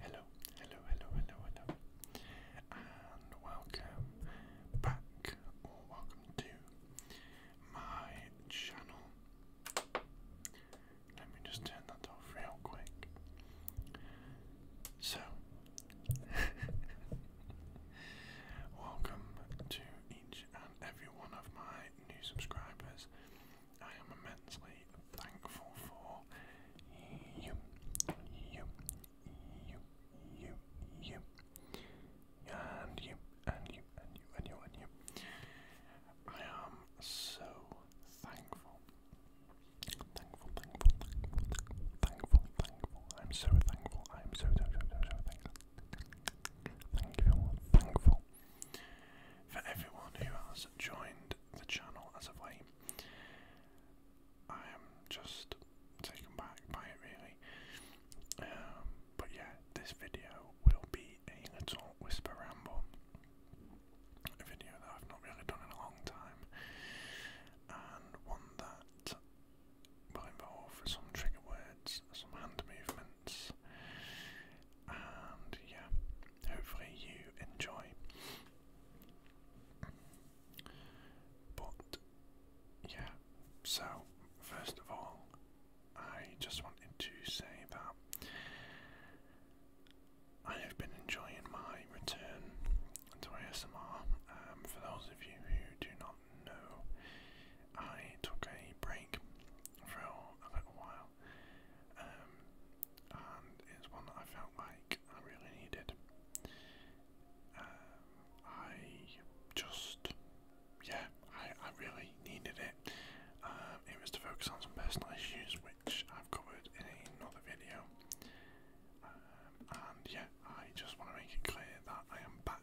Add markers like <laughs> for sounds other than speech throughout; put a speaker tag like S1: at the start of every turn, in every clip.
S1: Hello, hello, hello, hello, hello, and welcome back, or welcome to my channel. Let me just turn that off real quick. So, <laughs> welcome to each and every one of my new subscribers. I am immensely thankful for you, you, you, you, you, and you, and you, and you, and you, and you. I am so thankful. Thankful, thankful, thankful, thankful, thankful. I'm so thankful. I'm so, so, so, so, so thankful. thankful for everyone who has joined the channel as of late. I am just taken back by it really. Um, but yeah, this video will be a little whisper ramble. A video that I've not really done in a long time. And one that will involve some trigger words, some hand movements, and yeah, hopefully you enjoy. But yeah, so first of all, I just wanted to say that I have been enjoying my return to ASMR. Um, for those of you who do not know, I took a break for a little while well. Um, and it's one that I felt like I really needed. Um, I just, yeah, I, I really needed it. Um, it was to focus on some personal issues, which I've covered in another video. Um, and yeah, I just want to make it clear that I am back,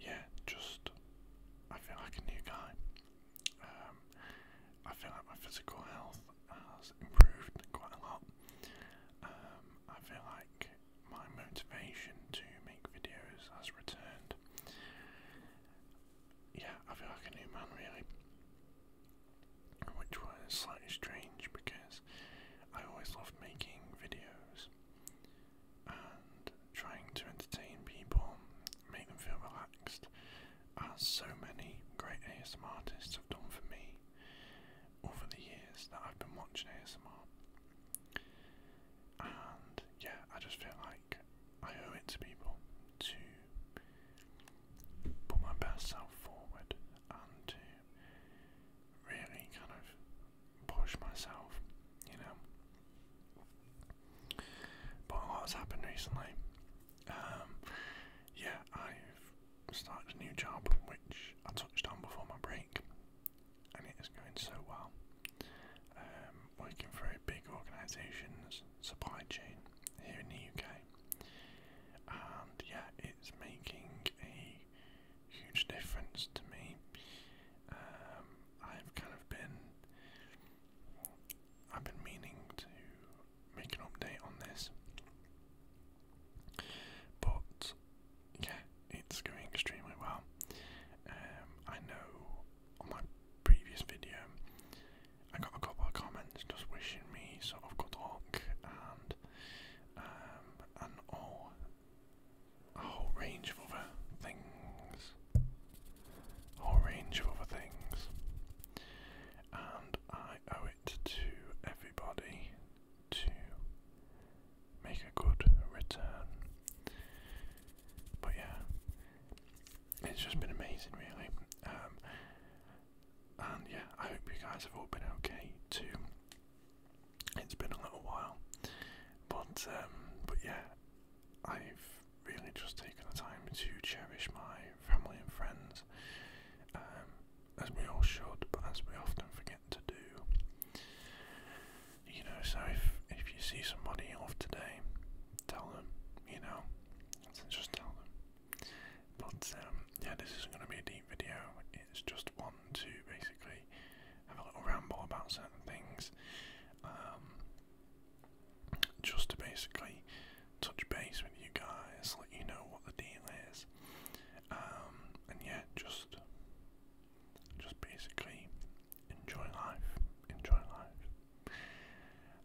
S1: yeah, just I feel like a new guy. Um, I feel like my physical health has improved quite a lot. Um, I feel like my motivation to make videos has returned. Yeah, I feel like a new man really. Which was slightly strange because I always loved making videos, and trying to entertain people, make them feel relaxed, as so many great ASMR artists have done for me over the years that I've been watching ASMR. And yeah, I just feel like I owe it to people to put my best self forward and to really kind of push myself, you know. But what's happened recently. Um, yeah, I've started a new job, which I touched on before my break, and it is going so well. Um, working for a big organisation's supply chain here in the UK, and yeah, it's making a huge difference to me. Um, I've kind of been, I've been meaning to make an update on this, but yeah, it's going extremely well. Um, I know on my previous video, I got a couple of comments just wishing me sort of good luck and um, and all a whole range of other things. A whole range of other things. And I owe it to everybody to make a good return. But yeah, it's just been amazing, really. Um, and yeah, I hope you guys have all been okay too. It's been a little while, but um, but yeah, I've really just taken the time to cherish my family and friends, um, as we all should, but as we often forget to do. You know, so if if you see somebody off today, tell them. You know, just tell them. But um, yeah, this isn't going to be a deep video. It's just one two, basically have a little ramble about certain things, um, just to basically touch base with you guys, let you know what the deal is, um, and yeah, just just basically enjoy life, enjoy life.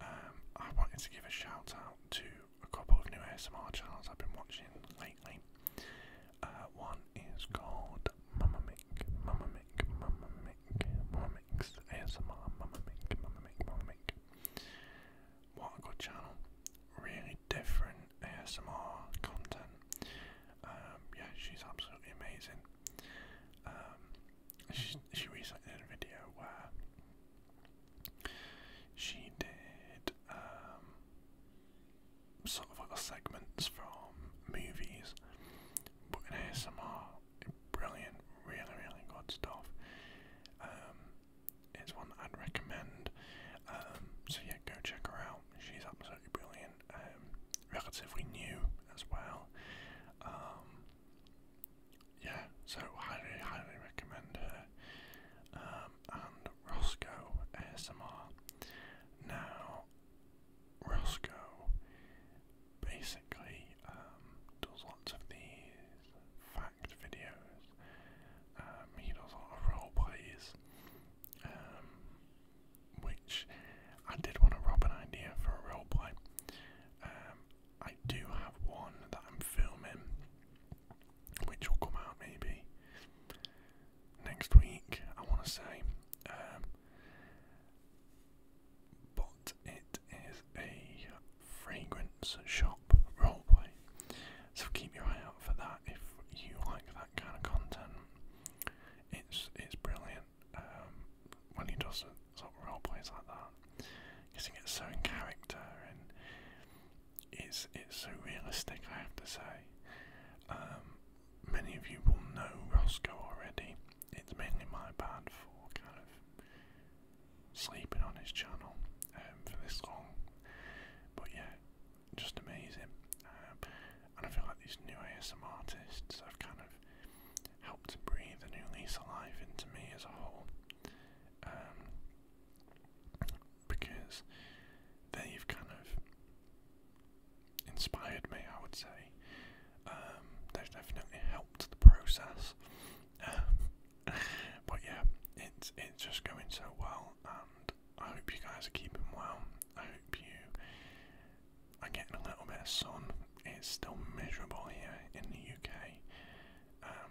S1: Um, I wanted to give a shout out to a couple of new ASMR channels I've been watching lately. Uh, one is called Mama Mick, Mama Mick, Mama Mick, Mama Mix, ASMR, Mama Mick, Mama Mick, Mama Mick. What a good channel. Really different ASMR content. Um, yeah, she's absolutely amazing. Um, she, she recently did a video where she did um, sort of little segments from movies, but in ASMR, brilliant, really, really good stuff. Um, it's one I'd recommend. Um, so yeah, go check her out. She's absolutely brilliant. Um, relatively new as well. Um, yeah, so highly, highly recommend her. Um, and Rosco ASMR. Now, Roscoe basically um, does lots of these fact videos. Um, he does a lot of role um, which I did want to rob an idea for a role I do have one that I'm filming which will come out maybe next week, I want to say. Um, but it is a fragrance shop roleplay, so keep your eye out for that if you like that kind of content. It's it's brilliant um, when he does sort of roleplays like that, because he gets so in character and it's it's so realistic. I have to say, um, many of you will know Rosco already. It's mainly my bad for kind of sleeping on his channel um, for this long, but yeah, just amazing. Um, and I feel like these new ASM artists have kind of helped to breathe a new lease of life into me as a whole because they've kind of inspired me, I would say. Um, they've definitely helped the process. Um, <laughs> but yeah, it's it's just going so well, and I hope you guys are keeping well. I hope you are getting a little bit of sun. It's still miserable here in the UK. Um,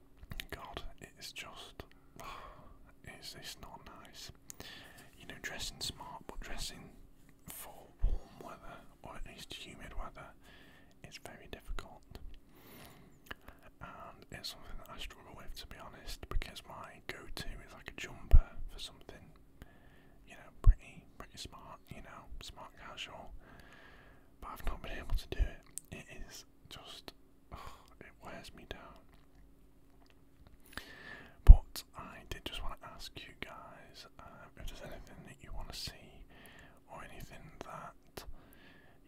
S1: God, it is just. <sighs> its this not nice? You know, dressing smart, but dressing for warm weather or at least humid weather is very difficult. And it's something that I struggle with, to be honest, because my go-to is like a jumper for something, you know, pretty, pretty smart, you know, smart casual. But I've not been able to do it. It is just it wears me down. But I did just want to ask you guys uh, anything that you want to see or anything that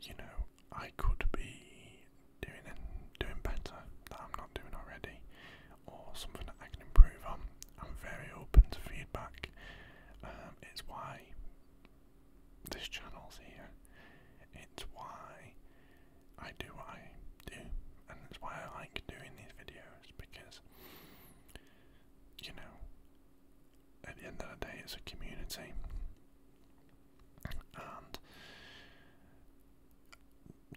S1: you know I could be doing and doing better that I'm not doing already, or something that I can improve on. I'm very open to feedback. Um, it's why this channel's here. It's why I do what I do, and it's why I like doing these videos because, you know, at the end of the day, it's a community, and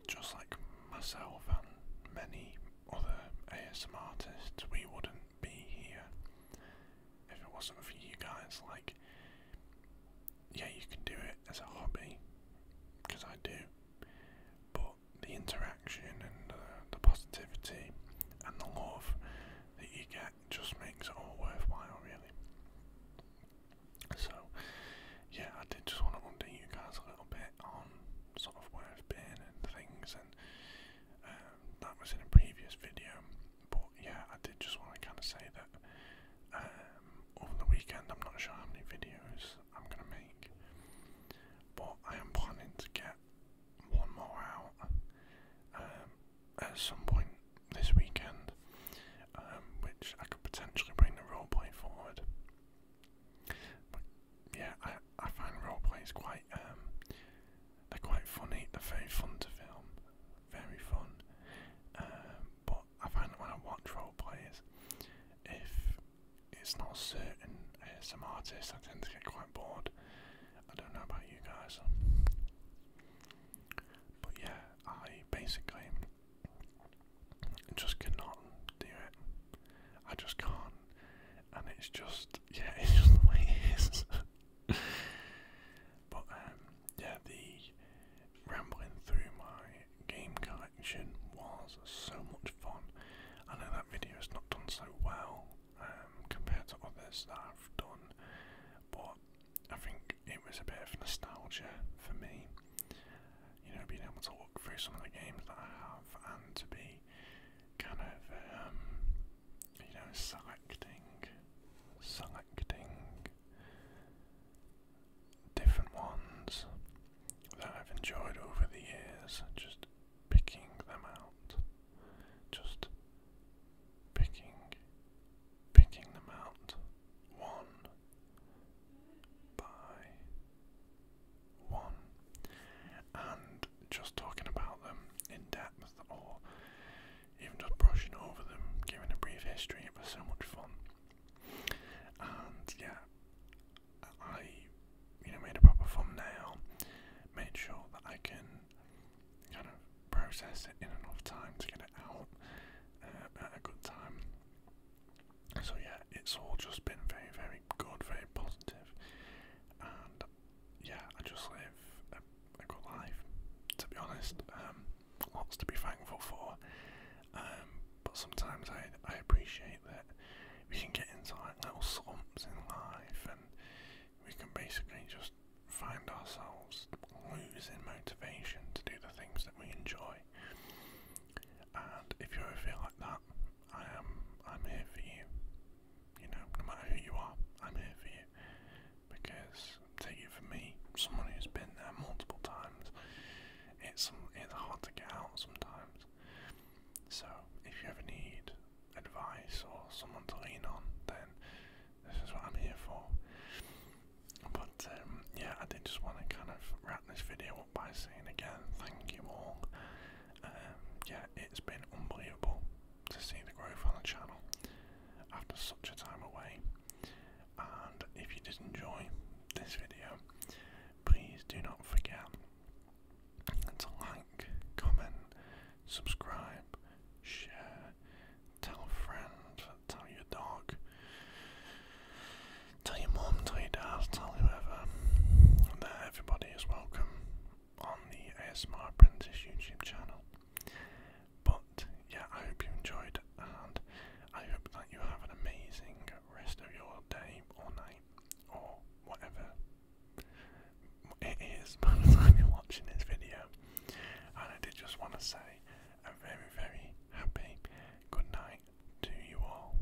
S1: just like myself and many other ASM artists, we wouldn't be here if it wasn't for you guys, like, yeah, you can do it as a hobby, because I do, but the interaction and the positivity and the love that you get just makes it all worthwhile, really. So, yeah, I did just want to update you guys a little bit on sort of where I've been and things, and um, that was in a previous video, yeah, I did just want to kind of say that um, over the weekend, I'm not sure how many videos I'm going to make, but I am planning to get one more out um, at some point this weekend, um, which I could potentially bring the role play forward. But yeah, I, I find roleplays quite they're quite funny. They're very fun to film, very fun. Um, but I find when I watch role players, if it's not certain some artists, I tend to get quite bored. I don't know about you guys, but yeah, I basically just cannot do it. I just can't, and it's just yeah, <laughs> it's just the way it is but um, yeah, the rambling through my game collection was so much fun. I know that video has not done so well um, compared to others that I've done, but I think it was a bit of nostalgia for me. You know, being able to look through some of the games that I have and to be kind of um, you know, selecting, selecting different ones that I've enjoyed over the years, just picking them out, just picking, picking them out one by one, and just talking about them in depth or even just brushing over them, giving a brief history. It was so much fun. And yeah, I you know made a proper thumbnail, made sure that I can kind of process it in enough time to get it out uh, at a good time. So yeah, it's all just been very, very good, very positive, and yeah, I just live a, good life, to be honest. Um, lots to be thankful for. Um, but sometimes I I appreciate that we can get into little slumps in life, and we can basically just find ourselves losing motivation to do the things that we enjoy. And if you ever feel like that, I am I'm here for you. You know, no matter who you are, I'm here for you. Because take it from me, someone who's been there multiple times, it's it's hard to get out sometimes. So if you ever need advice or someone to lean on, then this is what I'm here for. But um, yeah, I did just want to kind of wrap this video up by saying again, thank you all. Um, yeah, it's been unbelievable to see the growth on the channel after such a time away. And if you did enjoy this video, please do not forget to like, comment, subscribe, share, tell a friend, tell your dog, tell your mum, tell your dad, tell whoever that everybody is welcome on the ASMR Apprentice YouTube channel. But yeah, I hope you enjoyed and I hope that you have an amazing rest of your day or night or whatever it is by the time you're watching this video. And I did just want to say a very, very happy good night to you all.